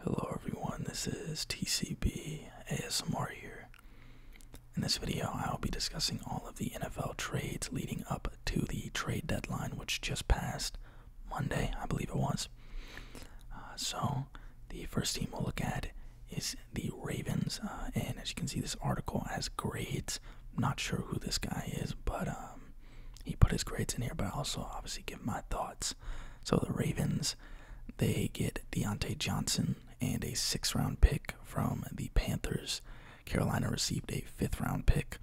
Hello everyone, this is TCB ASMR here. In this video, I'll be discussing all of the NFL trades leading up to the trade deadline, which just passed Monday, I believe it was. Uh, so, the first team we'll look at is the Ravens, uh, and as you can see, this article has grades. I'm not sure who this guy is, but um, he put his grades in here, but also obviously give my thoughts. So, the Ravens they get Deontay Johnson and a six round pick from the Panthers. Carolina received a fifth round pick.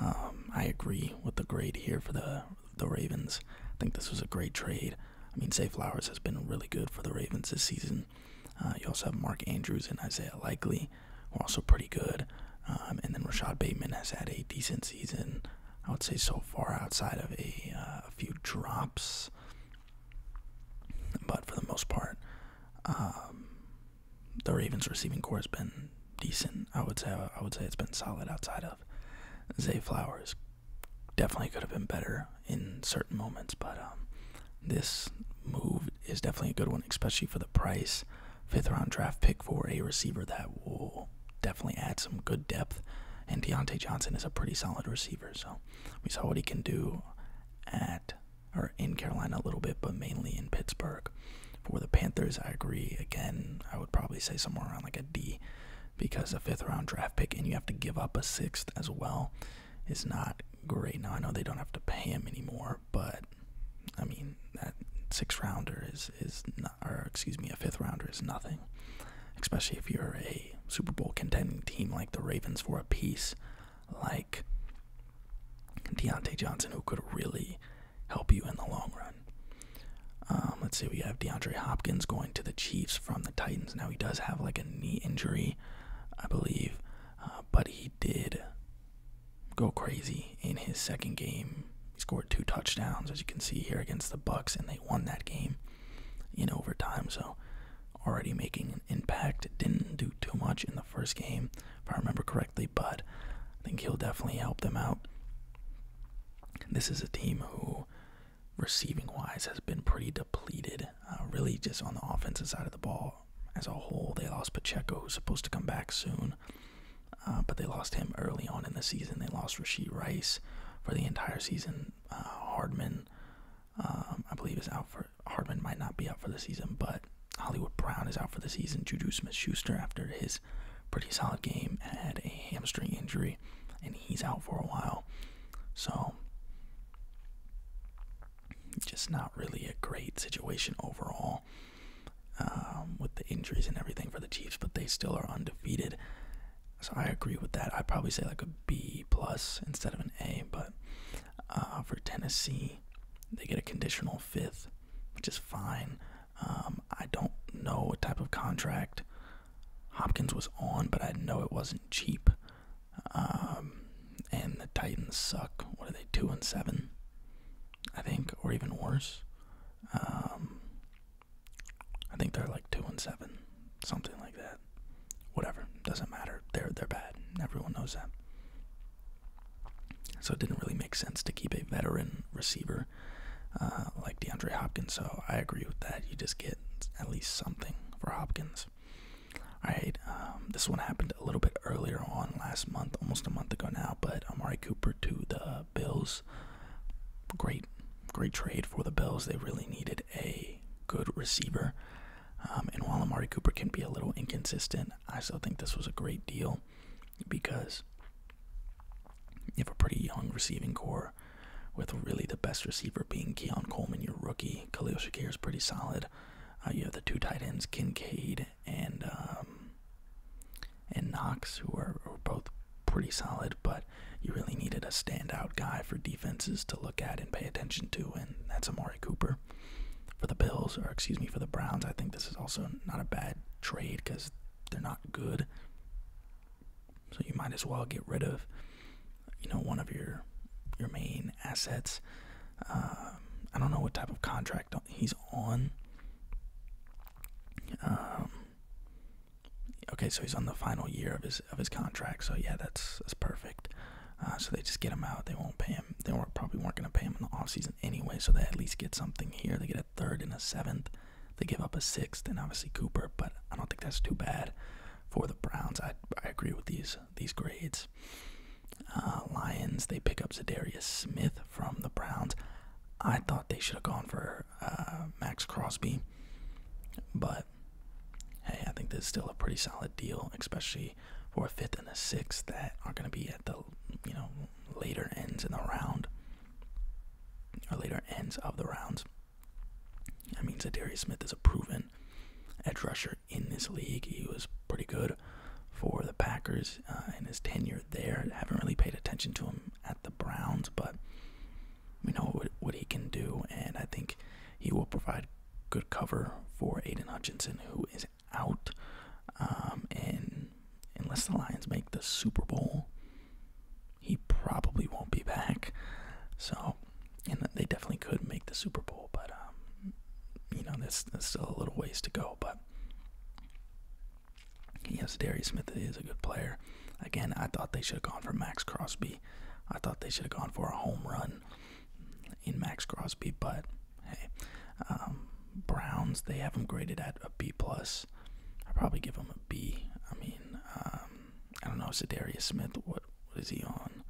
Um, I agree with the grade here for the the Ravens. I think this was a great trade. I mean, Say Flowers has been really good for the Ravens this season. Uh, you also have Mark Andrews and Isaiah Likely, who are also pretty good. Um, and then Rashad Bateman has had a decent season. I would say so far outside of a, uh, few drops. But for the most part, um, the Ravens receiving core has been decent. I would say I would say it's been solid outside of Zay Flowers. Definitely could have been better in certain moments, but um, this move is definitely a good one, especially for the price. Fifth round draft pick for a receiver that will definitely add some good depth. And Deontay Johnson is a pretty solid receiver, so we saw what he can do at or in Carolina a little bit, but mainly in Pittsburgh. For the Panthers, I agree. Again, I would probably say somewhere around like a D because a fifth round draft pick and you have to give up a sixth as well is not great. Now I know they don't have to pay him anymore, but I mean that sixth rounder is is or excuse me, a fifth rounder is nothing, especially if you're a Super Bowl contending team like the Ravens for a piece like Deontay Johnson, who could really help you in the long run. Um, let's see, we have DeAndre Hopkins going to the Chiefs from the Titans. Now, he does have like a knee injury, I believe, uh, but he did go crazy in his second game. He scored two touchdowns, as you can see here against the Bucks, and they won that game in overtime. So already making an impact. Didn't do too much in the first game, if I remember correctly, but I think he'll definitely help them out. This is a team who, receiving wise, has been pretty depleted. Uh, really, just on the offensive side of the ball as a whole. They lost Pacheco, who's supposed to come back soon. Uh, but they lost him early on in the season. They lost Rasheed Rice for the entire season. Uh, Hardman, um, I believe, is out for. Hardman might not be out for the season, but Hollywood Brown is out for the season. Juju Smith-Schuster, after his pretty solid game, had a hamstring injury, and he's out for a while. So, just not really a great situation overall. Um, with the injuries and everything for the Chiefs, but they still are undefeated. So I agree with that. I'd probably say like a B plus instead of an A, but uh, for Tennessee, they get a conditional fifth, which is fine. Um, I don't know what type of contract Hopkins was on, but I know it wasn't cheap. Um, and the Titans suck. What are they two and seven? I think, or even worse. Um, I think they're like two and seven, something like that. Whatever, doesn't matter. They're they're bad. Everyone knows that. So it didn't really make sense to keep a veteran receiver uh, like DeAndre Hopkins. So I agree with that. You just get at least something for Hopkins. All right, um, this one happened a little bit earlier on last month, almost a month ago now, but Amari Cooper to the Bills Great, great trade for the Bills. They really needed a good receiver. Um, and while Amari Cooper can be a little inconsistent, I still think this was a great deal because you have a pretty young receiving core with really the best receiver being Keon Coleman, your rookie. Khalil Shakir is pretty solid. Uh, you have the two tight ends, Kincaid and um, and Knox, who are, both pretty solid, but you really needed a standout guy for defenses to look at and pay attention to, and that's Amari Cooper. For the Bills, or excuse me, for the Browns, I think this is also not a bad trade because they're not good. So you might as well get rid of, you know, one of your your main assets. Um, I don't know what type of contract he's on. Um, okay, so he's on the final year of his of his contract. So yeah, that's that's perfect. Uh, so they just get him out. They won't pay him. They probably weren't going to pay him in the offseason anyway. So they at least get something here. They get a third and a seventh. They give up a sixth and obviously Cooper, but I don't think that's too bad for the Browns. I, I agree with these these grades. Uh, Lions they pick up Zadarius Smith from the Browns. I thought they should have gone for uh, Max Crosby, but hey, I think this is still a pretty solid deal, especially for a fifth and a sixth that are going to be at the you know later ends in the round or later ends of the rounds. I mean, Zadarius Smith is a proven edge rusher in this league. He was pretty good for the Packers uh, in his tenure there. Haven't really paid attention to him at the Browns, but we know what, he can do, and I think he will provide good cover for Aiden Hutchinson, who is out. Um, and unless the Lions make the Super Bowl, he probably won't be back. So, and they definitely could make the Super Bowl, but um, you know, there's still a little ways to go. But Yes, Darius Smith is a good player. Again, I thought they should have gone for Max Crosby. I thought they should have gone for a home run in Max Crosby, but hey, um, Browns they have him graded at a B plus. I probably give him a B. I mean, um, I don't know. Sedarius Smith, what what is he on?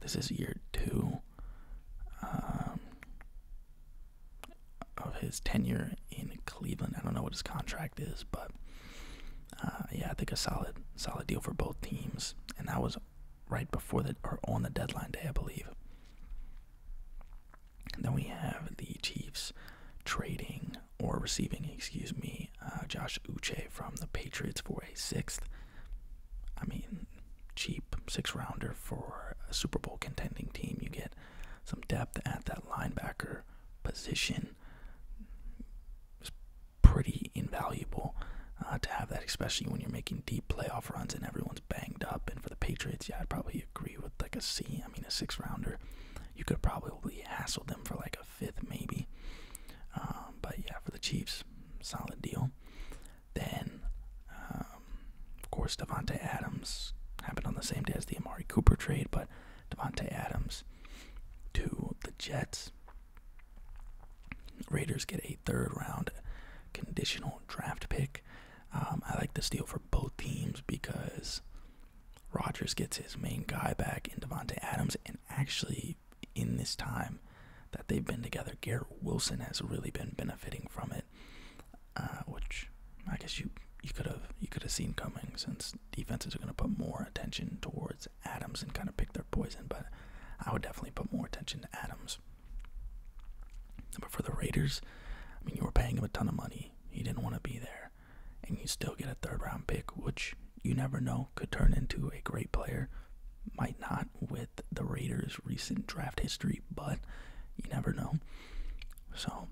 This is year two. Um, of his tenure in Cleveland. I don't know what his contract is, but uh, yeah, I think a solid, solid deal for both teams, and that was right before the or on the deadline day, I believe. then we have the Chiefs trading or receiving, excuse me, uh, Josh Uche from the Patriots for a sixth. I mean, cheap six rounder for a Super Bowl contending team. You get some depth at that linebacker position. is pretty invaluable uh, to have that, especially when you're making deep playoff runs and everyone's banged up. And for the Patriots, yeah, I'd probably agree with like a C. I mean, a six rounder, you could probably hassle them for like a fifth, maybe. Um, but yeah, for the Chiefs, solid deal. Then, um, of course, Devonte Adams happened on the same day as the Amari Cooper trade, but Devonte Adams to the Jets. Raiders get a third round conditional draft pick. Um, I like the deal for both teams because Rogers gets his main guy back in Devonte Adams, and actually, in this time that they've been together, Garrett Wilson has really been benefiting from it. Uh, which I guess you you could have you could have seen coming since defenses are going to put more attention towards Adams and kind of pick their poison. But I would definitely put more attention to Adams. But for the Raiders, I mean, you were paying him a ton of money. He didn't want to be there, and you still get a third round pick, which you never know could turn into a great player. Might not with the Raiders' recent draft history but you never know. So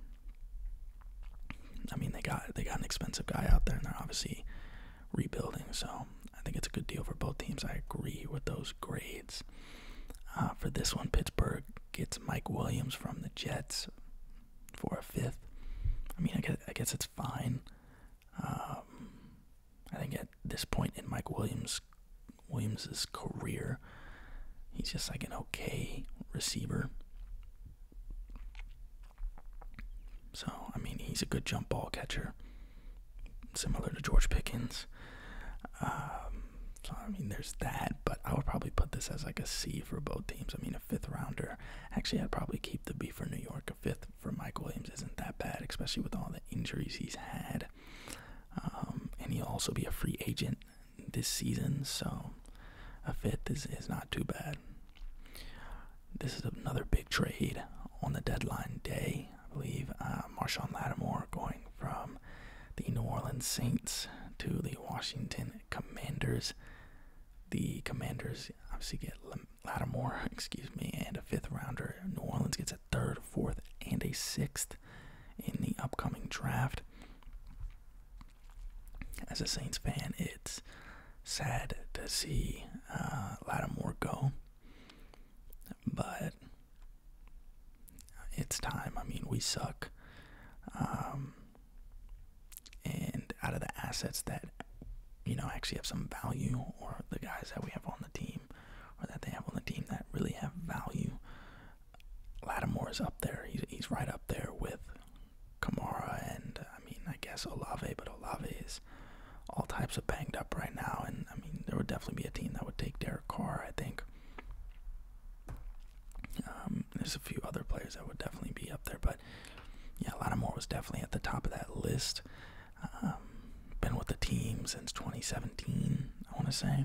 I mean they got they got an expensive guy out there and they're obviously rebuilding, so I think it's a good deal for both teams. I agree with those grades. Uh, for this one, Pittsburgh gets Mike Williams from the Jets for a fifth. I mean, I guess, I guess it's fine. Um, I think at this point in Mike Williams' Williams's career. He's just like an okay receiver. So, I mean, he's a good jump ball catcher, similar to George Pickens. Um, so, I mean, there's that, but I would probably put this as like a C for both teams. I mean, a fifth rounder. Actually, I'd probably keep the B for New York. A fifth for Mike Williams isn't that bad, especially with all the injuries he's had. Um, and he'll also be a free agent this season, so a fifth is, not too bad. This is another big trade on the deadline day, I believe. Uh, Marshawn Lattimore going from the New Orleans Saints to the Washington Commanders. The Commanders obviously get Lattimore, excuse me, and a fifth rounder. New Orleans gets a third, fourth, and a sixth in the upcoming draft. As a Saints fan, it's sad to see uh, Lattimore go, but it's time. I mean, we suck. Um, and out of the assets that, you know, actually have some value or the guys that we have on the team, or that they have on the team that really have value. Latimore is up there. He's, he's right up there with Kamara and, I mean, I guess Olave, but Olave is all types of banged up right now. And, I mean, there would definitely be a team that would take Derek Carr, I think. Um, there's a few other players that would definitely be up there, but yeah, Lattimore was definitely at the top of that list. Um, been with the team since 2017, I want to say.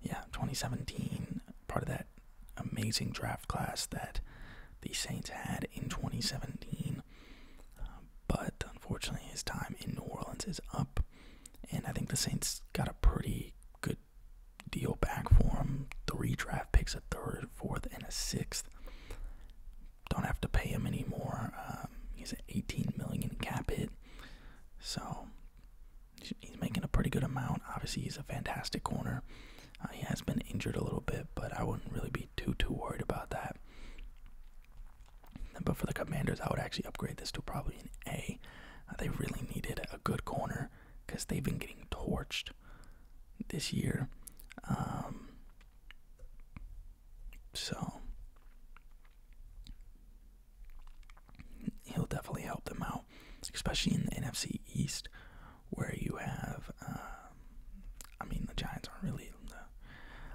Yeah, 2017, part of that amazing draft class that the Saints had in 2017. Um, but unfortunately, his time in New Orleans is up, and I think the Saints got a pretty good deal back for him. Three draft picks, a third, fourth, and a sixth. Don't have to pay him anymore. Um, he's an 18 million cap hit. So he's making a pretty good amount. Obviously, he's a fantastic corner. Uh, he has been injured a little bit, but I wouldn't really be too too worried about that. But for the Commanders, I would actually upgrade this to probably an A. Uh, they really needed a good corner because they've been getting torched this year. Um, so he'll definitely help them out, especially in the NFC East, where you have, um, I mean, the Giants aren't really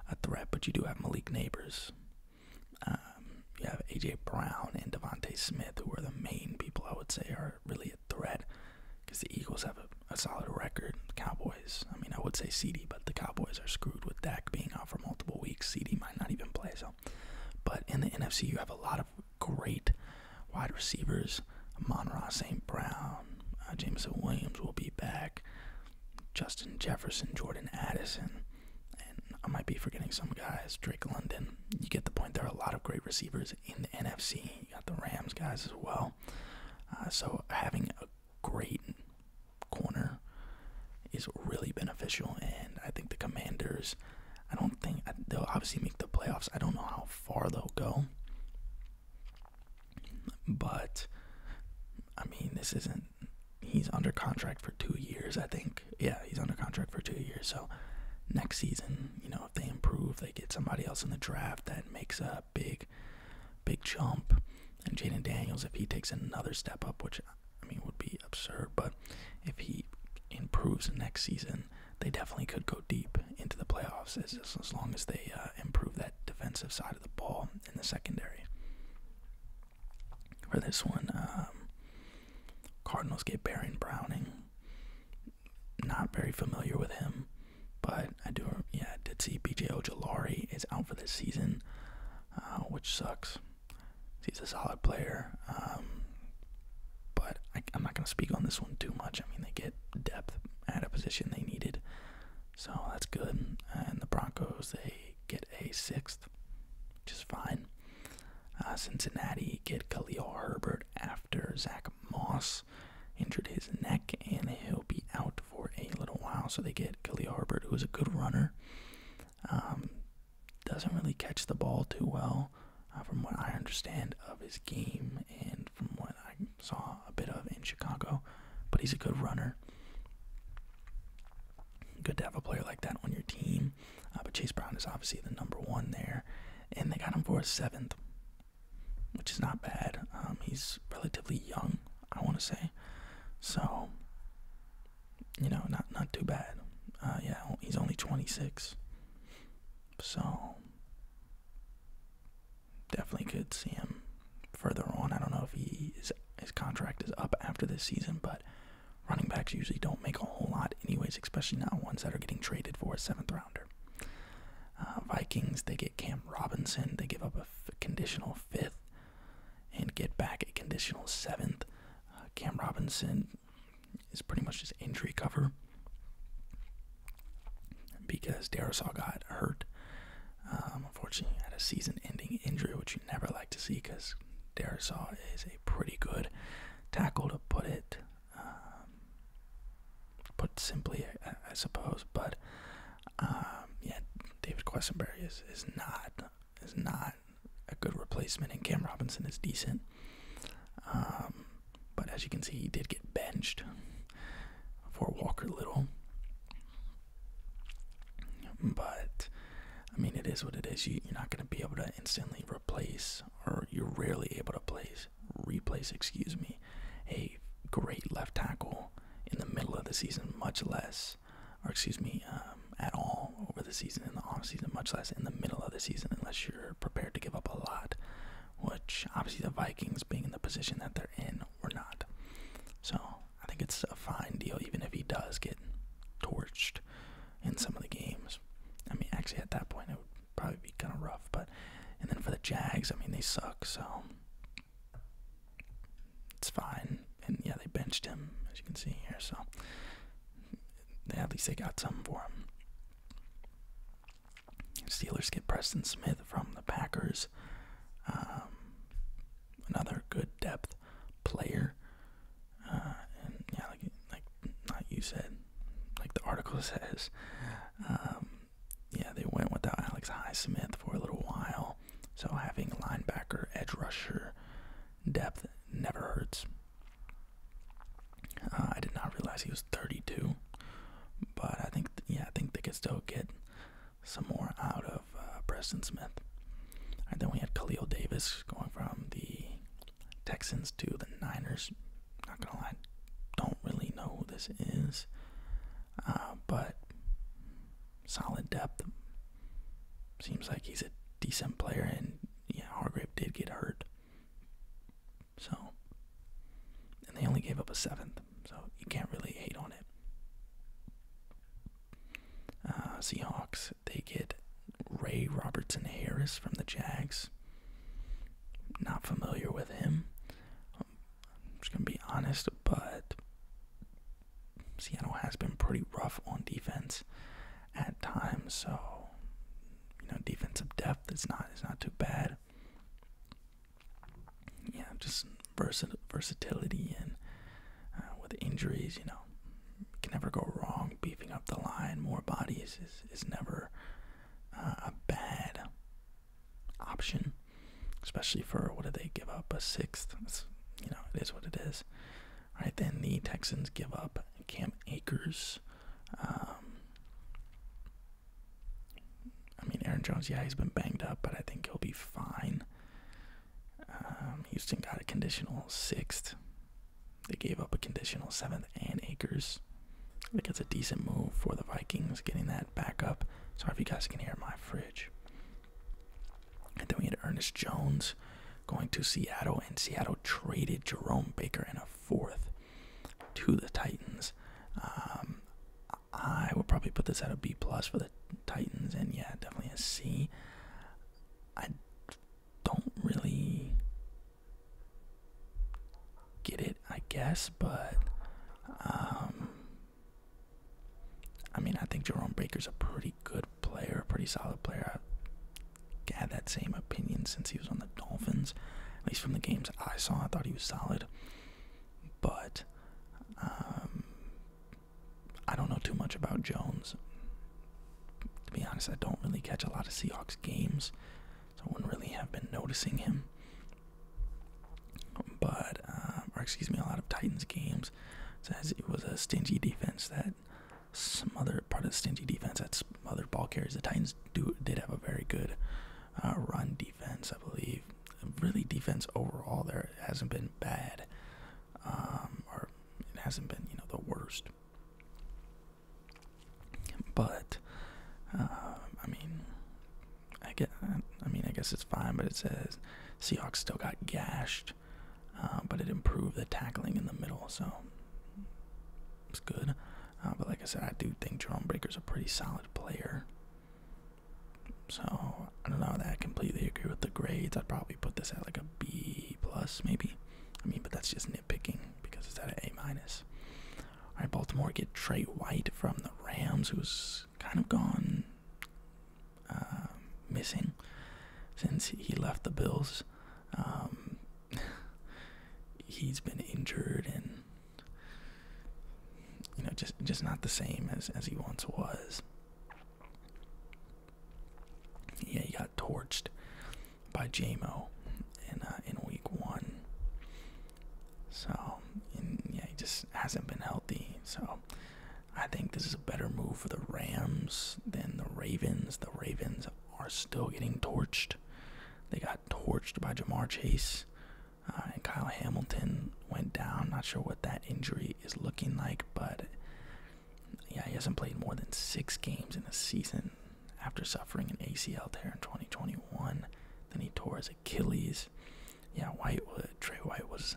a threat, but you do have Malik Neighbors. Um, you have AJ Brown and Devontae Smith, who are the main people I would say are really a threat, because the Eagles have a, a solid record. The Cowboys, I mean, I would say CD, but the Cowboys are screwed with Dak being for multiple weeks. CD might not even play. So, but in the NFC, you have a lot of great wide receivers. Monroe St. Brown, uh, Williams will be back. Justin Jefferson, Jordan Addison, and I might be forgetting some guys. Drake London. You get the point. There are a lot of great receivers in the NFC. You got the Rams guys as well. Uh, so having a great corner is really beneficial. And I think the Commanders, I don't think they'll obviously make the playoffs. I don't know how far they'll go. But, I mean, this isn't. He's under contract for two years, I think. Yeah, he's under contract for two years. So, next season, you know, if they improve, they get somebody else in the draft that makes a big, big jump. And Jaden Daniels, if he takes another step up, which I mean would be absurd, but if he improves next season, they definitely could go deep into the playoffs as, long as they uh, improve that defensive side of the ball in the secondary. For this one, um, Cardinals get Baron Browning. Not very familiar with him, but I do. Yeah, did see B.J. Ojolari is out for this season. Uh, which sucks. He's a solid player, um, but I, am not going to speak on this one too much. I mean, they get depth at a position they needed, so that's good. And the Broncos, they get a sixth, which is fine. Uh, Cincinnati get Khalil Herbert after Zach Moss injured his neck, and he'll be out for a little while. So they get Kelly Harbert, who is a good runner. Um, doesn't really catch the ball too well, uh, from what I understand of his game and from what I saw a bit of in Chicago. But he's a good runner. Good to have a player like that on your team. Uh, but Chase Brown is obviously the number one there. And they got him for a seventh, which is not bad. Um, he's relatively young. I want to say. So, you know, not not too bad. Uh, yeah, he's only 26, so definitely could see him further on. I don't know if he is, his contract is up after this season, but running backs usually don't make a whole lot, anyways, especially not ones that are getting traded for a seventh rounder. Uh, Vikings, they get Cam Robinson. They give up a conditional fifth and get back a conditional seventh. Uh, Cam Robinson is pretty much just injury cover because Darisaw got hurt. Um, unfortunately, he had a season-ending injury, which you never like to see because Darisaw is a pretty good tackle to put it, um, put simply, I, I suppose. But um, yeah, David Questenberry is, is not is not a good replacement, and Cam Robinson is decent. Um, but as you can see, he did get benched for Walker Little. But I mean, it is what it is. You, are not going to be able to instantly replace, or you're rarely able to place replace. Excuse me, a great left tackle in the middle of the season, much less, or excuse me, um, at all over the season in the off season, much less in the middle of the season, unless you're prepared to give up a lot. Which obviously the Vikings, being in the position that they're in, were not. So I think it's a fine deal, even if he does get torched in some of the games. I mean, actually at that point it would probably be kind of rough, but and then for the Jags, I mean they suck, so it's fine. And yeah, they benched him, as you can see here. So at least they got some for him. Steelers get Preston Smith from the Packers. Um, another good depth player. Uh, and yeah, like, like, you said, like the article says, um, yeah, they went without Alex Highsmith for a little while. So having linebacker, edge rusher depth never hurts. Uh, I did not realize he was 32, but I think yeah, I think they could still get some more out of uh, Preston Smith. And then we had Khalil Davis going from the Texans to the Niners. Not gonna don't really know who this is. Uh, but solid depth. Seems like he's a decent player, and yeah, Hargrave did get hurt. So, and they only gave up a seventh, so you can't really hate on it. Uh, Seahawks, they get Ray Robertson Harris from the Jags. Not familiar with him. I'm just going to be honest, but Seattle has been pretty rough on defense at times, so you know, defensive depth is not is not too bad. Yeah, just versi versatility and uh, with injuries, you know, can never go wrong. Beefing up the line, more bodies is is never uh, a bad option, especially for what did they give up a sixth? It's, you know, it is what it is. All right, then the Texans give up Cam Acres. Um, I mean, Aaron Jones, yeah, he's been banged up, but I think he'll be fine. Um, Houston got a conditional sixth. They gave up a conditional seventh and Acres. I think it's a decent move for the Vikings getting that back up. Sorry if you guys can hear my fridge. And then we had Ernest Jones going to Seattle, and Seattle traded Jerome Baker in a fourth to the Titans. Um, I would probably put this at a B plus for the Titans, and yeah, definitely a C. I don't really get it, I guess, but um, I mean, I think Jerome Baker's a pretty good player, a pretty solid player. I had that same opinion since he was on the Dolphins. At least from the games I saw, I thought he was solid. But um, I don't know too much about Jones. To be honest, I don't really catch a lot of Seahawks games, so I wouldn't really have been noticing him but uh, or excuse me, a lot of Titans games says it was a stingy defense that smothered part of the stingy defense that smothered ball carriers. The Titans do did have a very good uh, run defense, I believe. Really, defense overall there hasn't been bad, um, or it hasn't been you know the worst. But uh, I mean, I get. I mean, I guess it's fine, but it says Seahawks still got gashed, uh, but it improved the tackling in the middle, so it's good. Uh, but like I said, I do think Jerome Breaker's a pretty solid player. So I don't know that I completely agree with the grades. I'd probably put this at like a B plus maybe. I mean, but that's just nitpicking because it's at an A minus. All right, Baltimore get Trey White from the Rams, who's kind of gone uh, missing since he left the Bills. Um, he's been injured and you know just just not the same as as he once was. Yeah, he got torched by JMO in uh, in week one. So, yeah, he just hasn't been healthy. So, I think this is a better move for the Rams than the Ravens. The Ravens are still getting torched. They got torched by Jamar Chase, uh, and Kyle Hamilton went down. Not sure what that injury is looking like, but yeah, he hasn't played more than six games in a season after suffering an ACL tear in 2021. Then he tore his Achilles but yeah, White was, Trey White was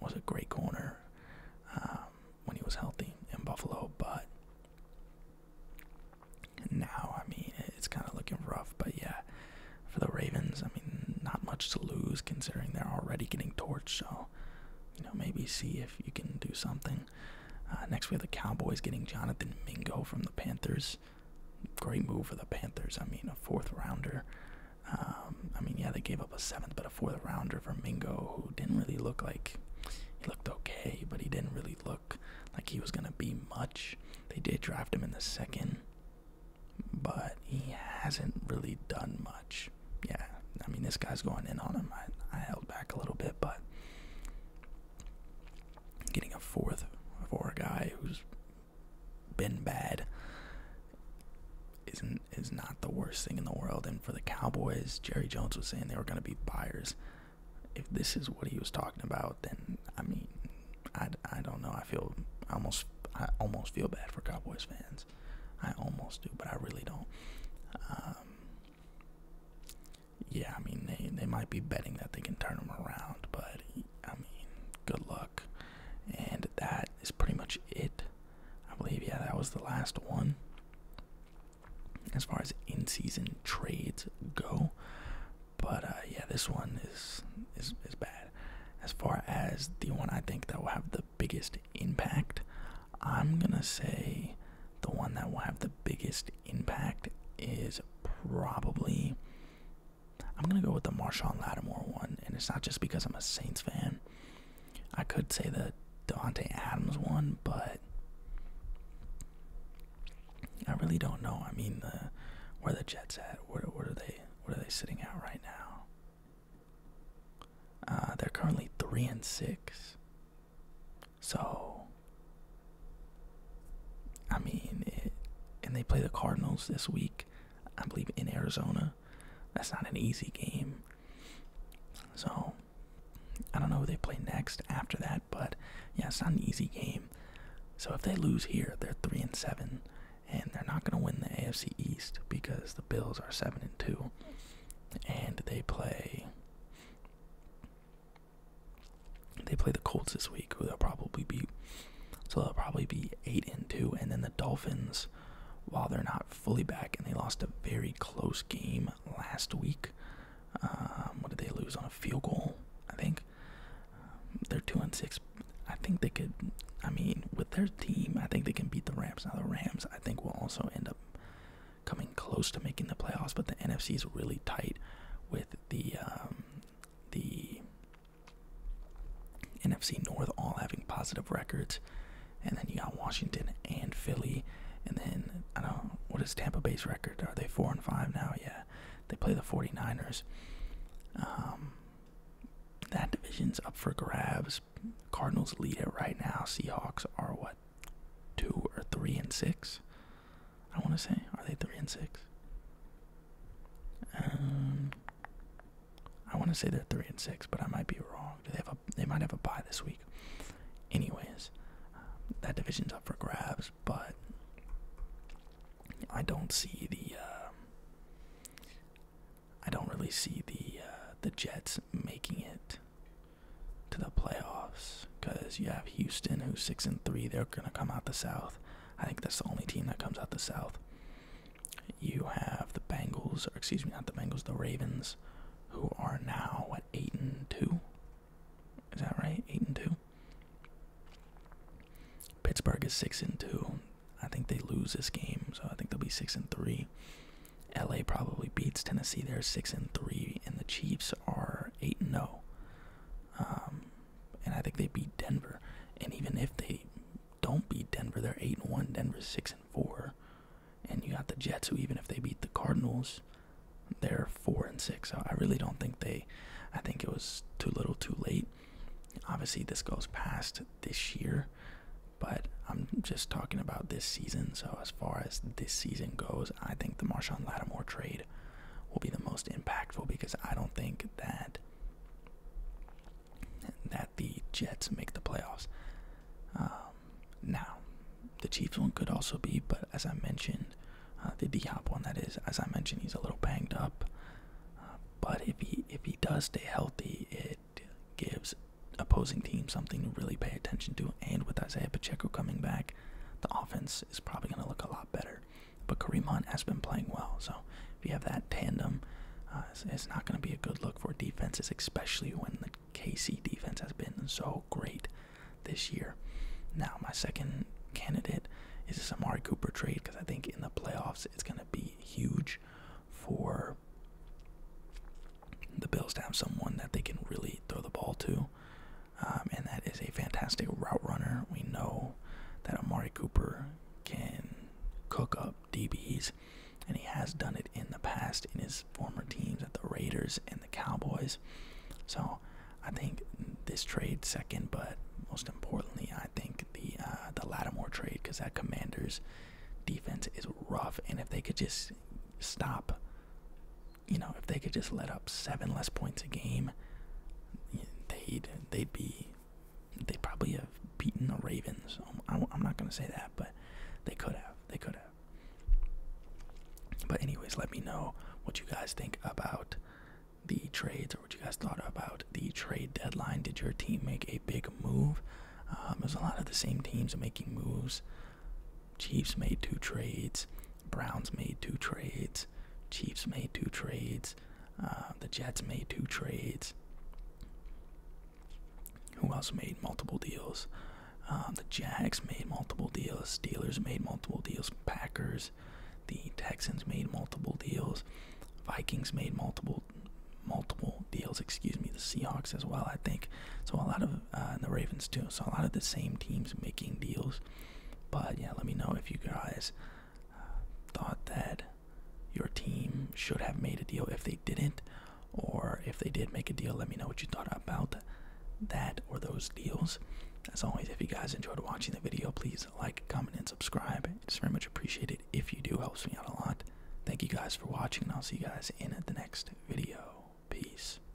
was a great corner um, when he was healthy in Buffalo, but now I mean it's kind of looking rough. But yeah, for the Ravens, I mean not much to lose considering they're already getting torched. So you know maybe see if you can do something. Uh, next we have the Cowboys getting Jonathan Mingo from the Panthers. Great move for the Panthers. I mean, a fourth rounder. Um, I mean, yeah, they gave up a seventh, but a fourth rounder for Mingo, who didn't really look like he looked okay, but he didn't really look like he was gonna be much. They did draft him in the second, but he hasn't really done much. Yeah, I mean, this guy's going in on him. I held back a little bit, but getting a fourth for a guy who's been bad isn't is not the worst thing in the world. And for the Cowboys, Jerry Jones was saying they were going to be buyers. If this is what he was talking about, then I mean, I, I don't know. I feel almost I almost feel bad for Cowboys fans. I almost do, but I really don't. Um, yeah, I mean they they might be betting that they can turn them around, but I mean, good luck. And that is pretty much it. I believe, yeah, that was the last one. As far as in-season trades go, but uh, yeah, this one is is is bad. As far as the one I think that will have the biggest impact, I'm gonna say the one that will have the biggest impact is probably I'm gonna go with the Marshawn Lattimore one, and it's not just because I'm a Saints fan. I could say the Devontae Adams one, but I really don't know. I mean, the, where the Jets at? Where, are they? What are they sitting at right now? Uh, they're currently three and six. So I mean, eh, and they play the Cardinals this week, I believe, in Arizona. That's not an easy game. So, I don't know who they play next after that, but yeah, it's not an easy game. So if they lose here, they're three and seven, and they're not gonna win the AFC East because the Bills are seven and two, and they play they play the Colts this week, who they'll probably beat. So they'll probably be eight and two, and then the Dolphins, while they're not fully back, and they lost a very close game last week. Um, what did they lose on a field goal? I think um, they're two and six. I think they could. I mean, with their team, I think they can beat the Rams. Now the Rams, I think, will also end up coming close to making the playoffs, but the NFC is really tight with the um, the NFC North all having positive records, and then you got Washington and Philly, and then I don't what is Tampa Bay's record? Are they four and five now? Yeah, they play the 49ers. Um, that division's up for grabs. Cardinals lead it right now. Seahawks are what two or three and six. I want to say are they three and six? Um, I want to say they're three and six, but I might be wrong. Do they have a? They might have a bye this week. Anyways, that division's up for grabs, but I don't see the. Uh, I don't really see the uh, the Jets making it to the playoffs because you have Houston, who's six and three. They're gonna come out the South. I think that's the only team that comes out the South. You have the Bengals, or excuse me, not the Bengals, the Ravens, who are now what eight and two. Is that right? Eight and two. Pittsburgh is six and two. I think they lose this game, so I think they'll be six and three. LA probably beats Tennessee. They're six and three, and the Chiefs are eight and zero. Oh. Um, and I think they beat Denver. And even if they don't beat Denver, they're eight and one. Denver's six and four, and you got the Jets, who even if they beat the Cardinals, they're four and six. So I really don't think they. I think it was too little, too late. Obviously, this goes past this year, but I'm just talking about this season. So as far as this season goes, I think the Marshawn Lattimore trade will be the most impactful because I don't think that that the Jets make the playoffs. Um, now, the Chiefs one could also be, but as I mentioned, uh, the D Hop one that is, as I mentioned, he's a little banged up. Uh, but if he if he does stay healthy, it gives opposing teams something to really pay attention to. And with Isaiah Pacheco coming back, the offense is probably going to look a lot better. But Kareem Hunt has been playing well, so if you have that tandem, uh, it's, not going to be a good look for defenses, especially when the KC defense has been so great this year. Now, my second candidate is this Amari Cooper trade because I think in the playoffs it's going to be huge for the Bills to have someone that they can really throw the ball to. Um, and that is a fantastic route runner. We know that Amari Cooper can cook up DBs, and he has done it in the past in his former teams at the Raiders and the Cowboys. So I think this trade second, but most importantly, I think the uh, the Lattimore trade because that Commanders defense is rough, and if they could just stop you know, if they could just let up seven less points a game, they'd they'd be they'd probably have beaten the Ravens. I'm, I'm not gonna say that, but they could have. They could have. But anyways, let me know what you guys think about the trades or what you guys thought about the trade deadline. Did your team make a big move? Um, there's a lot of the same teams making moves. Chiefs made two trades. Browns made two trades. Chiefs made two trades. Uh, the Jets made two trades. Who else made multiple deals? Um, the Jags made multiple deals. Steelers made multiple deals. Packers. The Texans made multiple deals. Vikings made multiple multiple deals. Excuse me. The Seahawks as well. I think so. A lot of uh, and the Ravens too. So a lot of the same teams making deals. But yeah, let me know if you guys uh, thought that your team should have made a deal if they didn't, or if they did make a deal. Let me know what you thought about that or those deals. As always, if you guys enjoyed watching the video, please like, comment, and subscribe. It's very much appreciated if you do. Helps me out a lot. Thank you guys for watching, and I'll see you guys in the next video. Peace.